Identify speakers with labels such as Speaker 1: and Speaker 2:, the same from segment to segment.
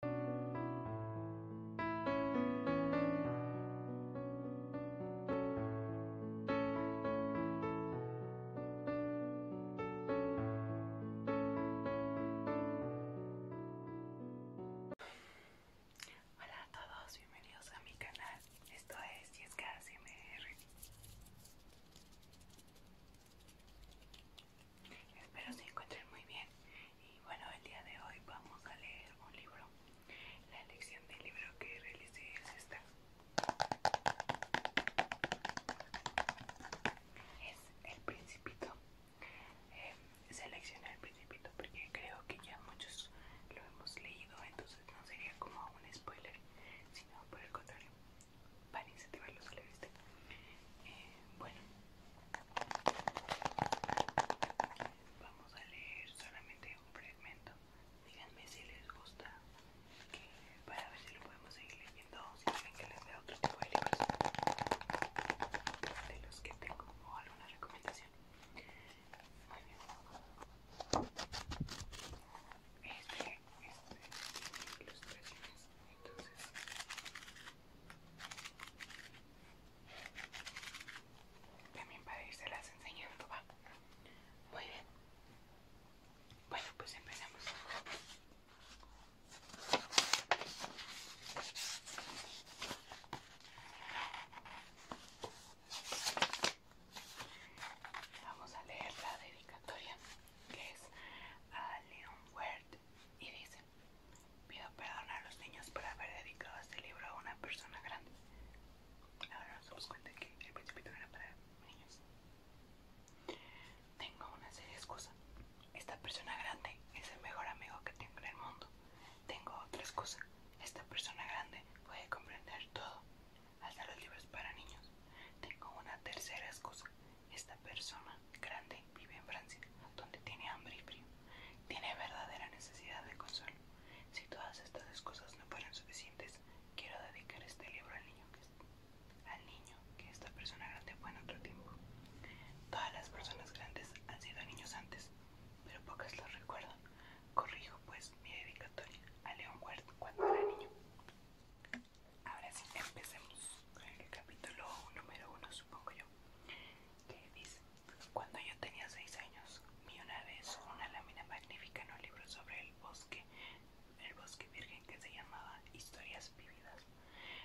Speaker 1: Hola a todos, bienvenidos a mi canal. Esto es Yesca CMR. Espero se encuentren muy bien. Y bueno, el día de hoy vamos a leer un libro. La elección del libro que realicé es esta. Es El Principito. Em, seleccioné El Principito porque creo que ya muchos lo hemos leído, entonces no sería como un spoiler, sino por el contrario. Para incentivar a leer este. em, bueno, Vamos a leer solamente un fragmento. Díganme si les gusta que, para ver si lo podemos seguir leyendo o si quieren que les dé otro tipo de libros de los que tengo o alguna recomendación. Muy bien. Este, este, ilustraciones. Entonces, también para las enseñando, va. Muy bien. Bueno, pues empezamos. Vamos a leer la dedicatoria que es a Leon Wert y dice, pido perdón a los niños por haber dedicado este libro a una persona grande. Ahora nos damos cuenta que el principito era para niños. Tengo una serie de excusas Esta persona grande es el mejor amigo que tengo en el mundo. Tengo otra excusa. Esta persona grande puede comprender todo, hasta los libros para niños. Tengo una tercera excusa. Esta persona grande vive en Francia, donde tiene hambre y frío. Tiene verdadera necesidad de consuelo. Si todas estas cosas no fueran suficientes, quiero dedicar este libro al niño que, al niño que esta persona grande fue en otro tiempo. Todas las personas grandes han sido niños antes, pero pocas los recuerdan. Corrijo pues mi dedicatoria a León cuando era niño. Ahora sí, empecemos con el capítulo número 1 supongo yo, que dice, cuando yo tenía 6 años, vi una vez una lámina magnífica en un libro sobre el bosque, el bosque virgen que se llamaba Historias Vividas.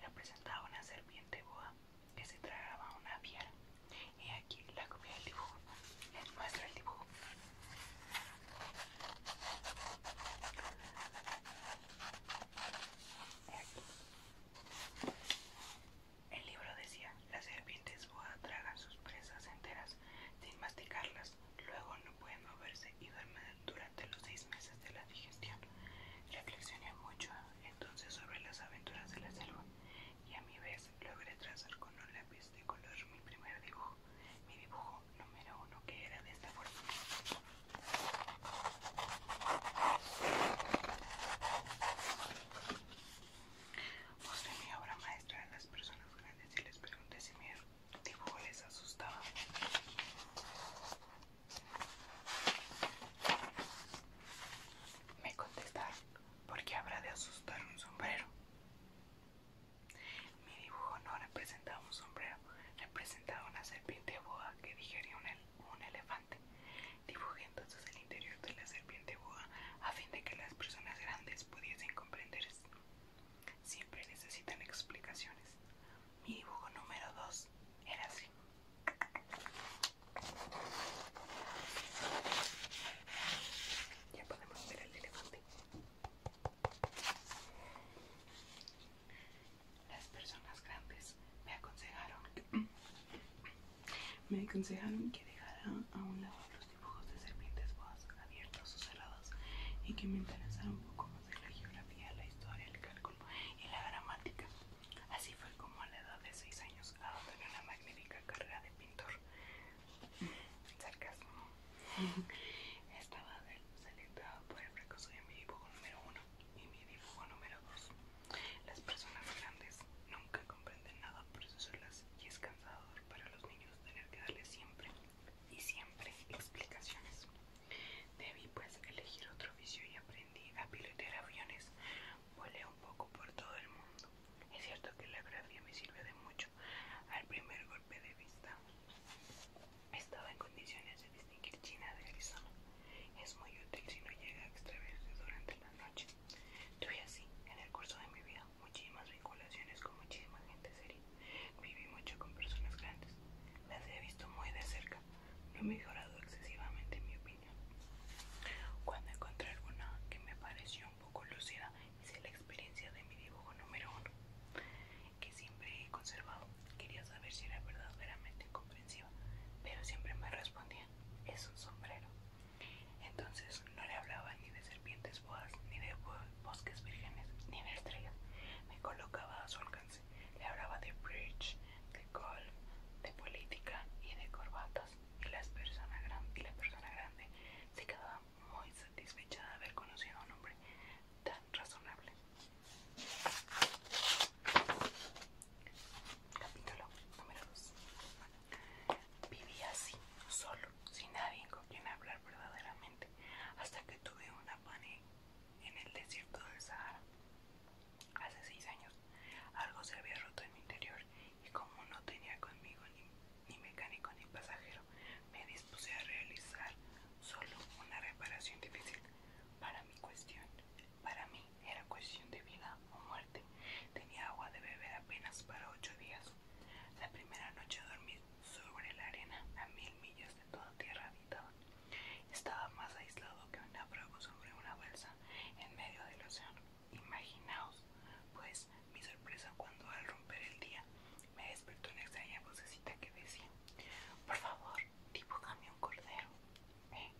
Speaker 1: Representaba una serpiente boa que se tragaba una piel Y aquí la copia del dibujo. Les muestro el dibujo. Aquí el libro decía, las serpientes boa tragan sus presas enteras sin masticarlas, luego no pueden moverse y duermen durante los seis meses de la digestión. Reflexioné mucho entonces sobre las aventuras de la selva y a mi vez logré trazar con un lápiz de color mi primer dibujo, mi dibujo número uno que era de esta forma. Busqué mi obra maestra de las personas grandes y les pregunté si mi dibujo les asustaba. Me contestaron, ¿por qué habrá de asustar un sombrero? Mi dibujo no representaba un sombrero, representaba una serpiente boa que digería un un un elefante, dibujé entonces el interior de la serpiente boa a fin de que las personas grandes pudiesen comprender Siempre necesitan explicaciones. Mi dibujo número 2 era así. Ya podemos ver El elefante las personas grandes me aconsejaron me aconsejaron que dejara a un lado los dibujos de serpientes boas abiertos o cerrados y que me interesara un poco más en la geografía, la historia, el cálculo y la gramática. Así fue como a la edad de 6 años adopté una magnífica carrera de pintor. Sarcasmo. Estaba selectado por el fracaso de mi dibujo número 1 y mi dibujo número 2. Las personas grandes nunca comprenden nada por eso son las y es cansador para los niños tener que darles siempre y siempre explicaciones. Debí pues elegir otro oficio y aprendí a pilotar aviones. Volé un poco por todo el mundo. Es cierto que la grafía me sirve de mucho al primer golpe de vista estaba en condiciones de distinguir China de Arizona. Es muy útil si no llega a extraverse durante la noche. Tuve así, en el curso de mi vida, muchísimas vinculaciones con muchísima gente seria. Viví mucho con personas grandes. Las he visto muy de cerca.
Speaker 2: No he mejorado
Speaker 1: excesivamente mi opinión. Cuando encontré alguna que me pareció un poco lúcida, hice la experiencia de mi dibujo número uno que siempre he conservado. Quería saber si era verdad verdaderamente comprensiva, pero siempre me respondía, es un sombrero. Entonces no le hablaba ni de serpientes boas, ni de bosques vírgenes, ni de estrellas. Me colocaba a su alcance. Le hablaba de bridge, de golf, de política y de corbatas. Y, las y la persona grande se quedaba muy satisfecha de haber conocido a un hombre tan razonable. Capítulo número 2. Vivía así, solo, sin nadie con quien hablar verdaderamente, hasta que tuve una pane en el desierto del Sahara. Hace seis años, algo se había roto en mi interior y como no tenía conmigo ni, ni mecánico ni pasajero, me dispuse a realizar solo una reparación difícil para mi cuestión. Para mí era cuestión de vida o muerte. Tenía agua de beber apenas para ocho días. La primera noche dormí sobre la arena a mil millas de toda tierra habitada. Estaba más aislado que un náufrago sobre una bolsa en medio del océano. Imaginaos, pues, mi sorpresa cuando al romper el día me despertó una extraña vocecita que decía: Por favor, dibújame un cordero, ¿eh?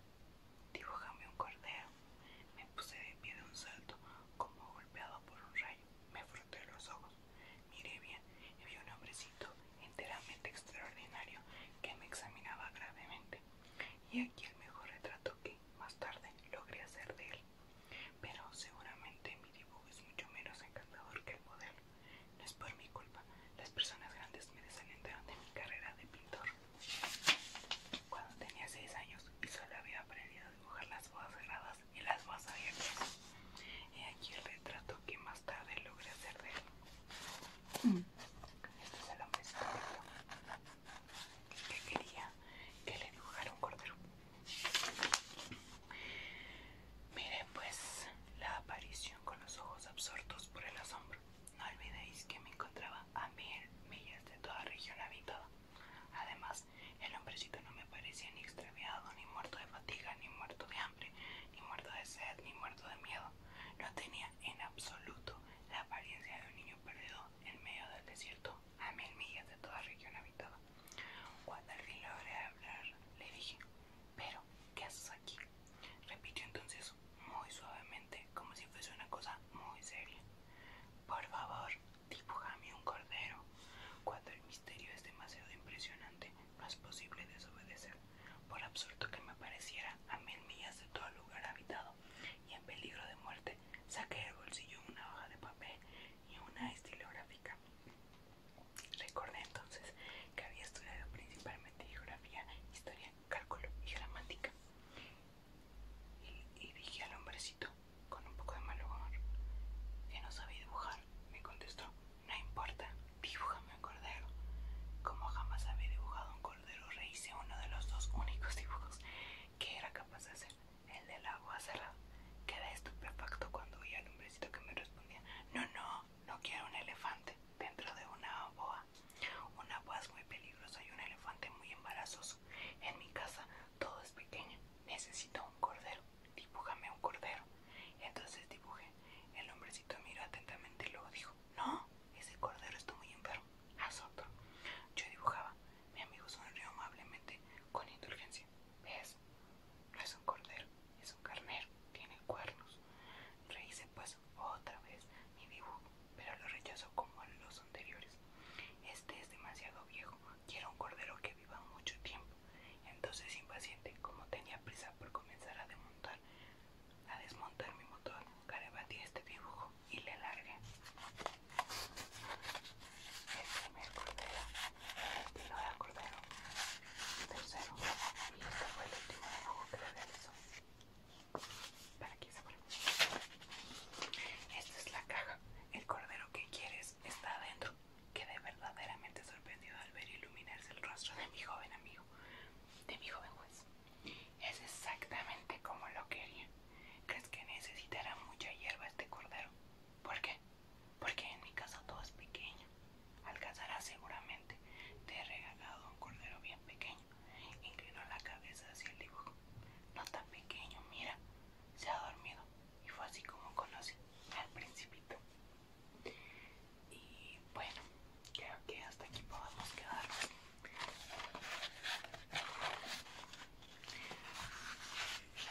Speaker 1: un cordero. Me puse de pie de un salto, como golpeado por un rayo. Me froté los ojos. Miré bien y vi un hombrecito enteramente extraordinario que me examinaba gravemente. Y aquí el mejor retrato que más tarde logré hacer de él. Pero seguramente mi dibujo es mucho menos encantador que el modelo. No es por mi culpa. Las personas grandes me desalentaron de mi carrera de pintor. Cuando tenía 6 años y solo había aprendido a dibujar las bodas cerradas y las bodas abiertas. Y aquí el retrato que más tarde logré hacer de él. Mm. Este es el hombre que quería que le dibujara un cordero. Mire pues la aparición con los ojos absortos por el asombro. No olvidéis que me encontraba a mil millas de toda región habitada. Además, el hombrecito no me parecía ni extraviado, ni muerto de fatiga, ni muerto de hambre, ni muerto de sed, ni muerto de miedo. No tenía en absoluto la apariencia de un niño perdido en medio del desierto, a mil millas de toda región habitada. Cuando al fin logré hablar, le dije, pero ¿qué haces aquí? Repitió entonces muy suavemente, como si fuese una cosa muy seria. Por favor, dibujame un cordero. Cuando el misterio es demasiado impresionante, no es posible desobedecer. Por absurdo que me pareciera, a mil millas de todo lugar habitado y en peligro de muerte, saqué del bolsillo una hoja de papel y una estilográfica. Recordé entonces que había estudiado principalmente geografía, historia, cálculo y gramática. Y, dije al hombrecito, con un poco de mal humor, que no sabía dibujar. Me contestó, no importa, dibújame un cordero. Como jamás había dibujado un cordero, rehice uno de los dos únicos dibujos que era capaz de hacer, el del agua cerrada. Quedé estupefacto cuando oí al hombrecito que me respondía, no, no, no, quiero un elefante dentro de una boa. Una boa es muy peligrosa y un elefante muy embarazoso. En mi casa todo es pequeño. Necesito un cordero. Dibújame un cordero. Entonces dibujé. El hombrecito miró atentamente y luego dijo, no, ese cordero está muy enfermo. Haz otro. Yo dibujaba. Mi amigo sonrió amablemente con indulgencia. ¿Ves? no es un cordero, es un carnero, tiene cuernos. Rehice pues otra vez mi dibujo, pero lo rechazo como los anteriores. Este es demasiado viejo, quiero un cordero que viva mucho tiempo. Entonces, impaciente, como tenía prisa por comenzar a desmontar, a desmontar mi motor, este dibujo y le largué. Es cordero de cordero, tercero, este fue el último que Para Esta es la caja. El cordero que quieres está adentro. Quedé verdaderamente sorprendido al ver iluminarse el rostro de mi joven amigo, de mi joven juez. Es exactamente como lo quería. ¿Crees que necesitará mucha hierba este cordero? ¿Por qué? porque en mi casa todo es pequeño. Alcanzará seguramente. Te he regalado un cordero bien pequeño. Inclinó la cabeza hacia el dibujo. No tan pequeño, mira. Se ha dormido. Y fue así como conocí al principito. Y bueno, creo que hasta aquí podemos quedarnos.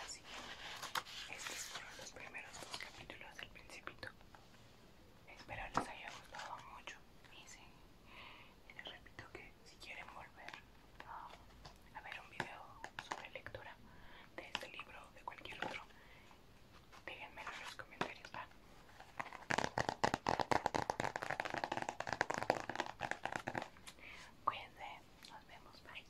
Speaker 1: Así siguiente estos fueron los primeros dos capítulos del principito. Espero les haya gustado mucho. Y, sí, les repito que si quieren volver a, ver un video sobre lectura de este libro o de cualquier otro, déjenmelo en los comentarios. ¿va? Ah. Cuídense, nos vemos, bye.